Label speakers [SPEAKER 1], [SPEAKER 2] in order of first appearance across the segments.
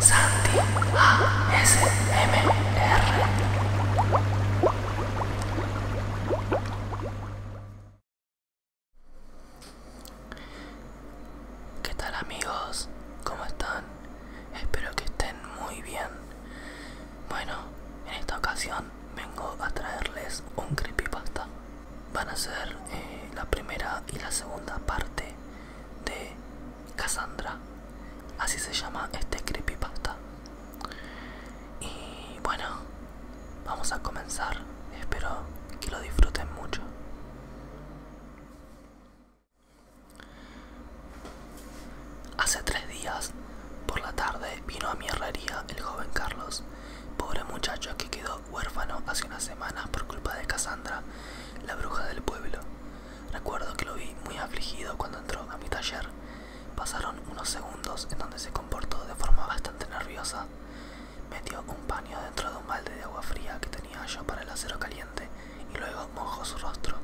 [SPEAKER 1] Santi ASMR. ¿Qué tal amigos? ¿Cómo están? Espero que estén muy bien. Bueno, en esta ocasión vengo a traerles un creepypasta van a ser eh, la primera y la segunda parte de Cassandra así se llama este creepypasta y bueno vamos a comenzar espero que lo disfruten mucho hace tres días por la tarde vino a mi herrería el joven Carlos pobre muchacho que quedó huérfano hace unas semanas por culpa de Cassandra, la bruja del pueblo. Recuerdo que lo vi muy afligido cuando entró a mi taller. Pasaron unos segundos en donde se comportó de forma bastante nerviosa. Metió un paño dentro de un balde de agua fría que tenía yo para el acero caliente y luego mojó su rostro.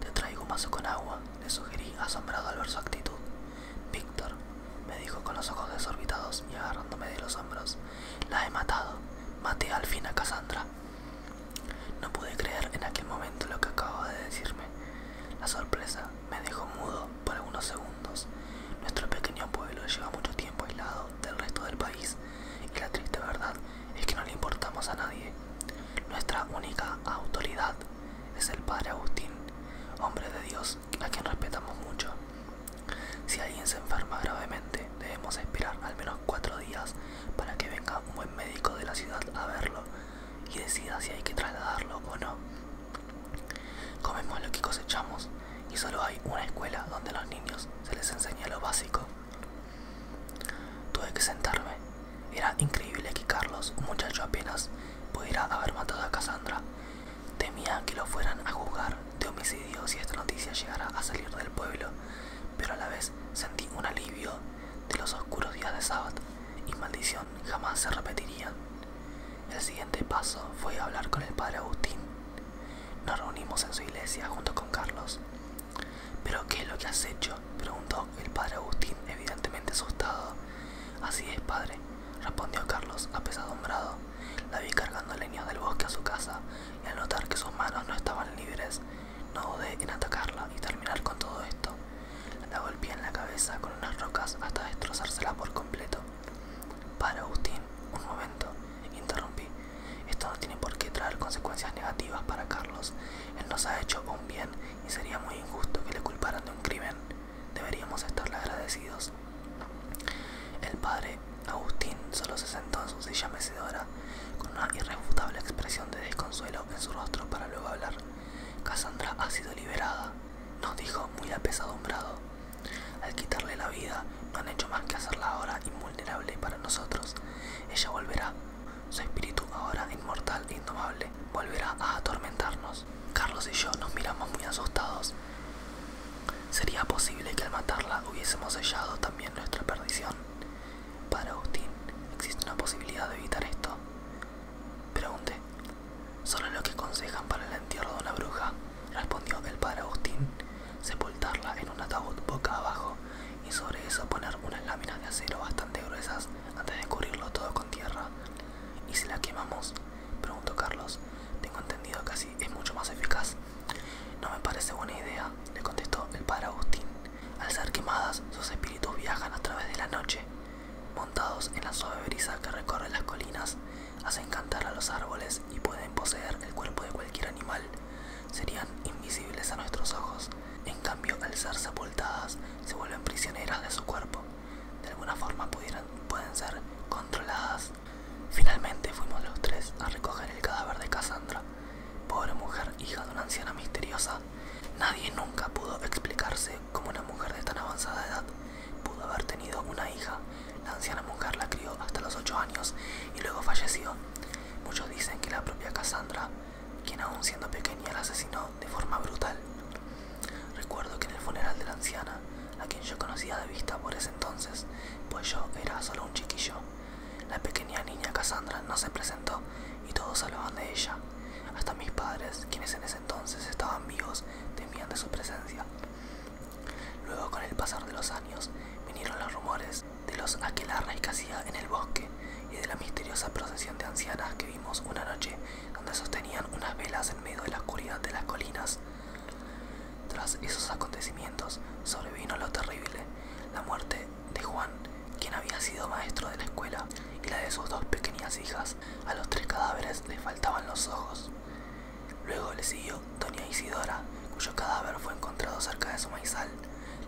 [SPEAKER 1] Te traigo un vaso con agua, le sugerí asombrado al ver su actitud. Víctor, me dijo con los ojos desorbitados y agarrándome de los hombros. La he matado. Maté al fin a Cassandra. No pude creer en aquel momento lo que acababa de decirme. La sorpresa me dejó mudo por algunos segundos. Nuestro pequeño pueblo lleva mucho tiempo aislado del resto del país y la triste verdad es que no le importamos a nadie. Nuestra única autoridad es el Padre Agustín, hombre de Dios a quien respetamos mucho. Si alguien se enferma gravemente, debemos esperar al menos cuatro días para que venga un buen médico de la ciudad a verlo y decida si hay que trasladarlo o no. Comemos lo que cosechamos y solo hay una escuela donde a los niños se les enseña lo básico. Tuve que sentarme. Era increíble que Carlos, un muchacho apenas, pudiera haber matado a Cassandra Temía que lo fueran a juzgar de homicidio si esta noticia llegara a salir del pueblo, pero a la vez sentí un alivio de los oscuros días de sábado y maldición jamás se repetirían. El siguiente paso fue hablar con el padre Agustín. Nos reunimos en su iglesia junto con Carlos. ¿Pero qué es lo que has hecho? preguntó el padre Agustín, evidentemente asustado. Así es, padre, respondió Carlos apesadumbrado. La vi cargando leña del bosque a su casa, y al notar que sus manos no estaban libres, no dudé en atacarla y terminar con todo esto. La golpeé en la cabeza con unas rocas hasta destrozársela por completo. Para, Agustín, un momento, interrumpí. Esto no tiene por qué traer consecuencias negativas para Carlos. Él nos ha hecho un bien y sería muy injusto que le culparan de un crimen. Deberíamos estarle agradecidos. El padre Agustín solo se sentó en su silla mecedora con una irrefutable expresión de desconsuelo en su rostro para luego hablar. Cassandra ha sido liberada, nos dijo muy apesadumbrado. Al quitarle la vida, no han hecho más que hacerla ahora invulnerable para nosotros. Ella volverá, su espíritu ahora inmortal e indomable volverá a atormentarnos. Carlos y yo nos miramos muy asustados. ¿Sería posible que al matarla hubiésemos sellado también nuestra perdición? Para Agustín, existe una posibilidad de evitar esto. Pregunté. Solo lo que aconsejan para el entierro de una bruja, respondió el padre Agustín, sepultarla en un ataúd boca abajo y sobre eso poner unas láminas de acero bastante gruesas antes de cubrirlo todo con tierra ¿Y si la quemamos? Preguntó Carlos. Tengo entendido que así es mucho más eficaz. No me parece buena idea, le contestó el padre Agustín. Al ser quemadas, sus espíritus viajan a través de la noche. Montados en la suave brisa que recorre las colinas, hacen cantar a los árboles y pueden poseer el cuerpo de cualquier animal. Serían invisibles a nuestros ojos. En cambio, al ser sepultadas, se vuelven prisioneras de su cuerpo de alguna forma pueden ser controladas. Finalmente fuimos los tres a recoger el cadáver de Cassandra, pobre mujer hija de una anciana misteriosa. Nadie nunca pudo explicarse cómo una mujer de tan avanzada edad pudo haber tenido una hija. La anciana mujer la crió hasta los 8 años y luego falleció. Muchos dicen que la propia Cassandra, quien aún siendo pequeña la asesinó de forma brutal. Recuerdo que en el funeral de la anciana, a quien yo conocía de vista por ese entonces, pues yo era solo un chiquillo, la pequeña niña Cassandra no se presentó y todos hablaban de ella. Hasta mis padres, quienes en ese entonces estaban vivos, temían de su presencia. Luego, con el pasar de los años, vinieron los rumores de los aquelarres que hacía en el bosque y de la misteriosa procesión de ancianas que vimos una noche donde sostenían unas velas en medio de la oscuridad de las colinas. Tras esos acontecimientos sobrevino lo terrible, la muerte de Juan, quien había sido maestro de la escuela, y la de sus dos pequeñas hijas. A los tres cadáveres le faltaban los ojos. Luego le siguió doña Isidora, cuyo cadáver fue encontrado cerca de su maizal.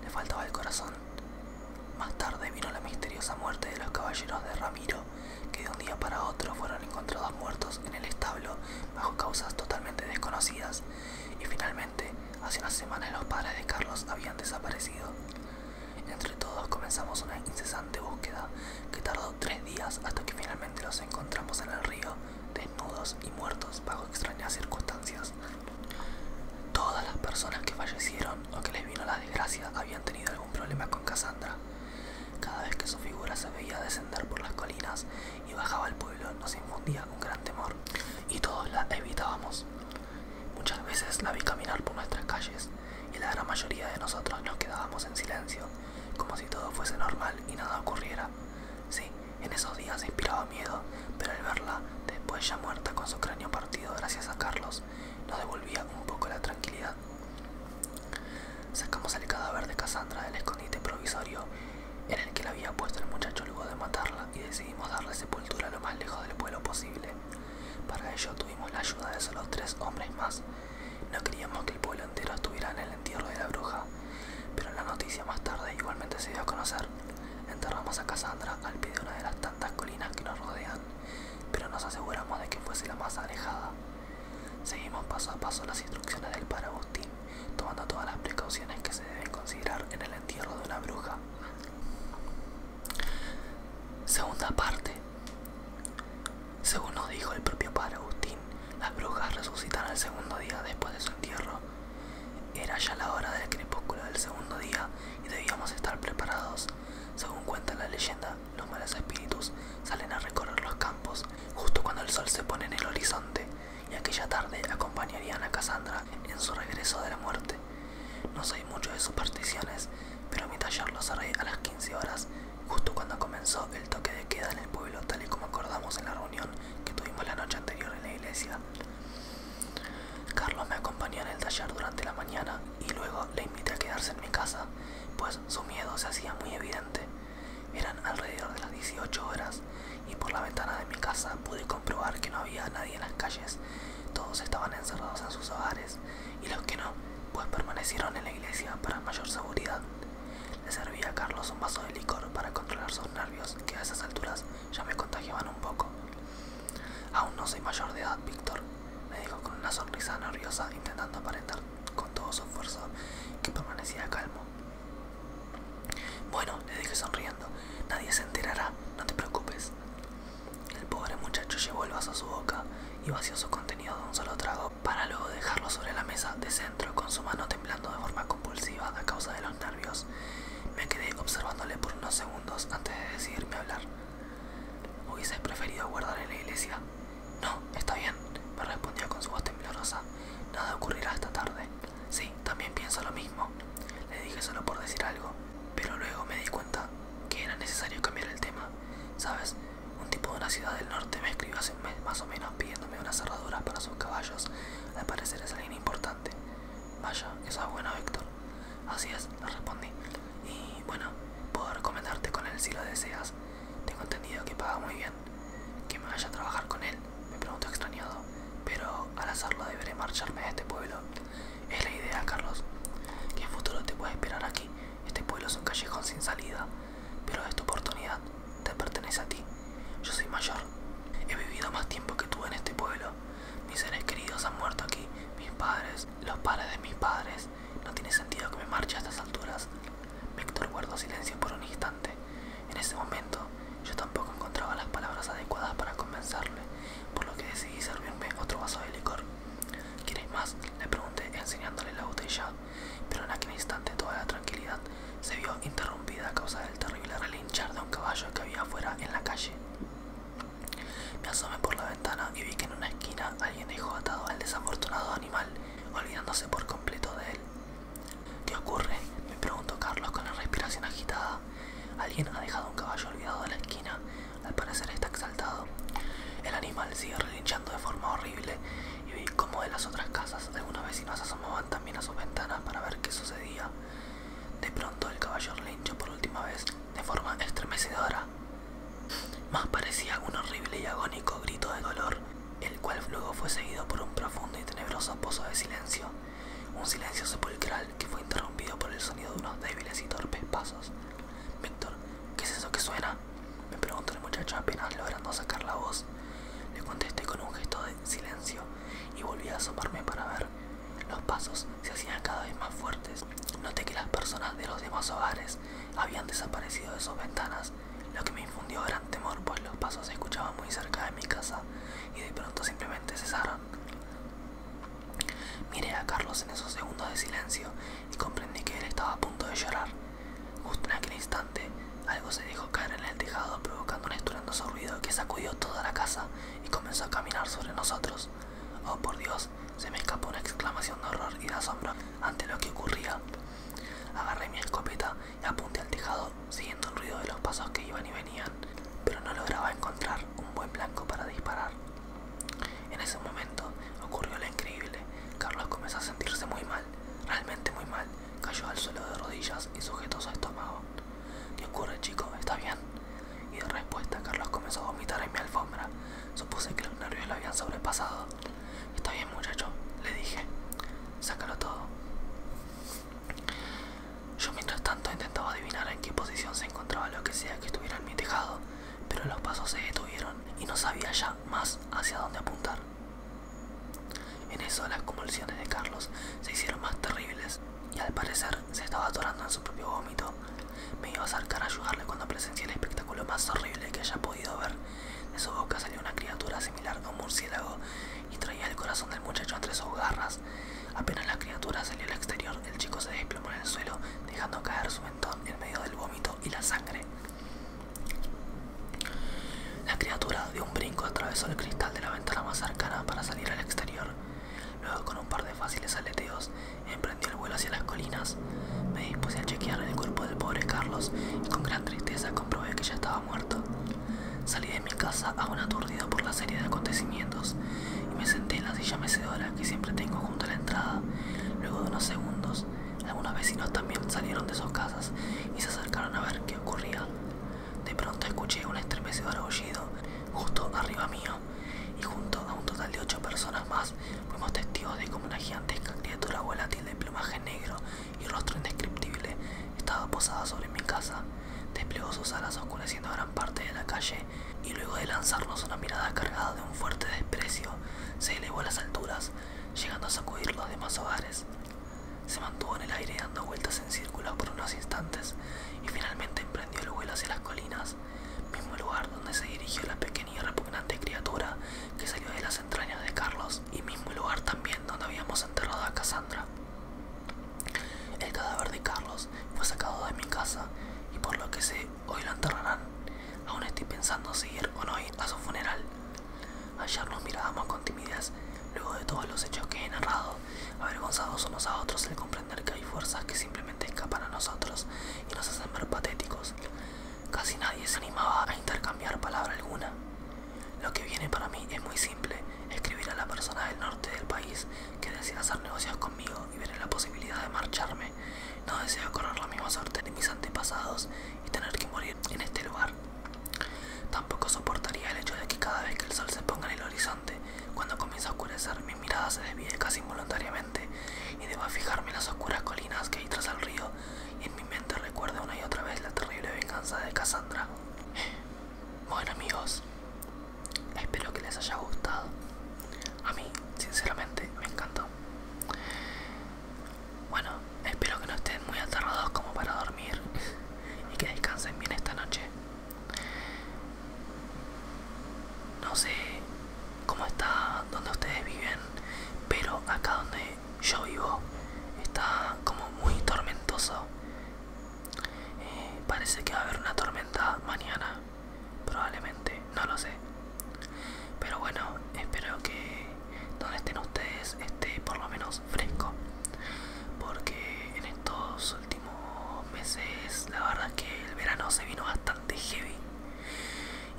[SPEAKER 1] Le faltaba el corazón. Más tarde vino la misteriosa muerte de los caballeros de Ramiro, que de un día para otro fueron encontrados muertos en el establo bajo causas totalmente desconocidas, y finalmente, hace unas semanas los padres de Carlos habían desaparecido. Entre todos comenzamos una incesante búsqueda que tardó tres días hasta que finalmente los encontramos en el río, desnudos y muertos bajo extrañas circunstancias. Todas las personas que fallecieron o que les vino la desgracia habían tenido un problema con Cassandra. Cada vez que su figura se veía descender por las colinas y bajaba al pueblo, nos infundía un gran temor y todos la evitábamos. Muchas veces la vi caminar por nuestras calles y la gran mayoría de nosotros nos quedábamos en silencio, como si todo fuese normal y nada ocurriera. Sí, en esos días inspiraba miedo, pero al verla, después ya muerta con su cráneo partido gracias a Carlos, nos devolvía un poco la tranquilidad. Sacamos el cadáver de Cassandra del escondite provisorio en el que la había puesto el muchacho luego de matarla y decidimos darle sepultura lo más lejos del pueblo posible. Para ello tuvimos la ayuda de solo tres hombres más. No queríamos que el pueblo entero estuviera en el entierro de la bruja, pero la noticia más tarde igualmente se dio a conocer. Enterramos a Cassandra al pie de una de las tantas colinas que nos rodean pero nos aseguramos de que fuese la más alejada. Seguimos paso a paso las instrucciones del padre Agustín, tomando todas las precauciones que se deben considerar en el entierro de una bruja. Segunda parte. Según nos dijo el propio padre Agustín, las brujas resucitan el segundo día después de su entierro. Era ya la hora del crepúsculo del segundo día y debíamos estar preparados. Según cuenta la leyenda, los malos espíritus salen a recorrer los campos justo cuando el sol se pone en el horizonte y aquella tarde acompañarían a Cassandra en su regreso de la muerte. No soy mucho de supersticiones, pero mi taller lo cerré a las 15 horas, justo cuando comenzó el toque de queda en el pueblo, tal y como acordamos en la reunión que tuvimos la noche anterior en la iglesia. Carlos me acompañó en el taller durante la mañana y luego le invité a quedarse en mi casa, pues su miedo se hacía muy evidente. Eran alrededor de las 18 horas y por la ventana de mi casa pude comprobar que no había nadie en las calles. Todos estaban encerrados en sus hogares y los que no, pues permanecieron en la iglesia para mayor seguridad. Le serví a Carlos un vaso de licor para controlar sus nervios que a esas alturas ya me contagiaban un poco. Aún no soy mayor de edad, Víctor, me dijo con una sonrisa nerviosa, intentando aparentar con todo su esfuerzo que permanecía calmo. Bueno, le dije sonriendo, nadie se enterará, no te preocupes. El pobre muchacho llevó el vaso a su boca y vació su contenido de un solo trago para luego dejarlo sobre la mesa de centro con su mano temblando de forma compulsiva a causa de los nervios me quedé observándole por unos segundos antes de decidirme hablar. hubiese preferido guardar en la iglesia? No, está bien, me respondió con su voz temblorosa. Nada ocurrirá esta tarde. Sí, también pienso lo mismo. Le dije solo por decir algo, pero luego me di cuenta que era necesario cambiar el tema. ¿Sabes? Un tipo de una ciudad del norte me escribió hace un mes más o menos pidiéndome una cerradura para sus caballos. Al parecer es alguien importante. Vaya, que es buena, Víctor. Así es, le respondí. Y bueno, puedo recomendarte con él si lo deseas. Tengo entendido que paga muy bien. Que me vaya a trabajar con él, me pregunto extrañado. Pero al hacerlo deberé marcharme de este pueblo. Es la idea, Carlos. ¿Qué futuro te puede esperar aquí? Este pueblo es un callejón sin salida. Pero esta oportunidad te pertenece a ti. Yo soy mayor. He vivido más tiempo que tú en este pueblo mis seres queridos han muerto aquí, mis padres, los padres de mis padres. No tiene sentido que me marche a estas alturas. Víctor guardó silencio por un instante. En ese momento, yo tampoco encontraba las palabras adecuadas para convencerle, por lo que decidí servirme otro vaso de licor. ¿Quieres más? Le pregunté enseñándole la botella, pero en aquel instante toda la tranquilidad se vio interrumpida a causa del terrible de un caballo que había afuera en la calle. Me asomé por la ventana y vi que en una esquina alguien dejó atado al desafortunado animal, olvidándose por completo de él. ¿Qué ocurre? me preguntó Carlos con la respiración agitada. Alguien ha dejado un caballo olvidado en la esquina. Al parecer está exaltado. El animal sigue relinchando de forma horrible y vi cómo de las otras casas algunas vecinos asomaban también a sus ventanas para ver qué sucedía. De pronto el caballero linchó por última vez de forma estremecedora. Más parecía un horrible y agónico grito de dolor, el cual luego fue seguido por un profundo y tenebroso pozo de silencio, un silencio sepulcral que fue interrumpido por el sonido de unos débiles y torpes pasos. Víctor, ¿qué es eso que suena? me preguntó el muchacho apenas logrando sacar la voz. Le contesté con un gesto de silencio y volví a asomarme para ver. Los pasos se hacían cada vez más fuertes. Noté que las personas de los demás hogares habían desaparecido de sus ventanas, lo que me infundió gran temor, pues los pasos se escuchaban muy cerca de mi casa y de pronto simplemente cesaron. Miré a Carlos en esos segundos de silencio y comprendí que él estaba a punto de llorar. Justo en aquel instante algo se dejó caer en el tejado provocando un estruendo ruido que sacudió toda la casa y comenzó a caminar sobre nosotros. Oh por Dios, se me escapó una exclamación de horror y de asombro ante lo que ocurría. Agarré mi escopeta y apunté al tejado siguiendo el ruido de los pasos que iban y venían, pero no lograba encontrar un buen blanco para disparar. En ese momento ocurrió lo increíble. Carlos comenzó a sentirse muy mal, realmente muy mal. Cayó al suelo de rodillas y sujetó su estómago. ¿Qué ocurre, chico? ¿Está bien? Y de respuesta, Carlos comenzó a vomitar en mi alfombra. Supuse que los nervios lo habían sobrepasado. Está bien, muchacho, le dije. Sácalo todo. Yo mientras tanto intentaba adivinar en qué posición se encontraba lo que sea que estuviera en mi tejado, pero los pasos se detuvieron y no sabía ya más hacia dónde apuntar. En eso las convulsiones de Carlos se hicieron más terribles y al parecer se estaba atorando en su propio vómito. Me iba a acercar a ayudarle cuando presencié el espectáculo más horrible que haya podido ver. De su boca salió una criatura similar a un murciélago y traía el corazón del muchacho entre sus garras. Apenas la criatura salió al exterior, el chico se desplomó en el suelo, dejando caer su mentón en medio del vómito y la sangre. La criatura de un brinco atravesó el cristal de la ventana más cercana para salir al exterior. Luego, con un par de fáciles aleteos, emprendió el vuelo hacia las colinas. Me dispuse a chequear el cuerpo del pobre Carlos y con gran tristeza comprobé que ya estaba muerto. Salí de mi casa aún aturdido por la serie de acontecimientos y me senté en la silla mecedora que siempre tengo junto a la entrada. Luego de unos segundos, algunos vecinos también salieron de sus casas y se acercaron a ver ocurría. De pronto escuché un estremecedor aullido justo arriba mío y junto a un total de ocho personas más fuimos testigos de cómo una gigantesca criatura volátil de plumaje negro y rostro indescriptible estaba posada sobre mi casa. Desplegó sus alas oscureciendo gran parte de la calle y luego de lanzarnos una mirada cargada de un fuerte desprecio, se elevó a las alturas, llegando a sacudir los demás hogares. Se mantuvo en el aire dando vueltas en círculo por unos instantes y finalmente emprendió el vuelo hacia las colinas, mismo lugar donde se dirigió la pequeña y repugnante criatura que salió de las entrañas de Carlos y mismo lugar también donde habíamos enterrado a Cassandra. El cadáver de Carlos fue sacado de mi casa y por lo que sé hoy lo enterrarán. Aún estoy pensando si ir o a su funeral. Ayer nos mirábamos con timidez, luego de todos los hechos que he narrado, avergonzados unos a otros al comprender que hay fuerzas que simplemente escapan a nosotros y nos hacen ver patéticos. Casi nadie se animaba a intercambiar palabra alguna. Lo que viene para mí es muy simple, escribir a la persona del norte del país que desea hacer negocios conmigo y ver la posibilidad de marcharme. No deseo correr la misma suerte de mis antepasados y tener que morir en este lugar. Tampoco soportaría el hecho de que cada vez que el sol se ponga en el horizonte, cuando comienza a oscurecer, mi mirada se desvíe casi involuntariamente y debo fijarme en las oscuras colinas que hay tras el río y en mi mente recuerde una y otra vez la terrible venganza de Cassandra. Bueno amigos, espero que les haya gustado. A mí, sinceramente, me encantó. Bueno, espero que no estén muy aterrados como para dormir y que descansen bien esta noche. No sé cómo está donde ustedes viven, pero acá donde yo vivo está como muy tormentoso. Eh, parece que va a haber una tormenta mañana, probablemente, no lo sé. Pero bueno, espero que donde estén ustedes esté por lo menos fresco. Porque en estos últimos meses la verdad es que el verano se vino bastante heavy.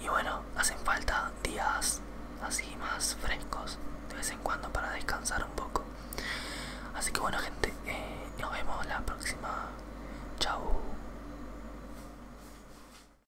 [SPEAKER 1] Y bueno, hacen falta días así más frescos de vez en cuando para descansar un poco. Así que bueno gente, eh, nos vemos la próxima. Chao.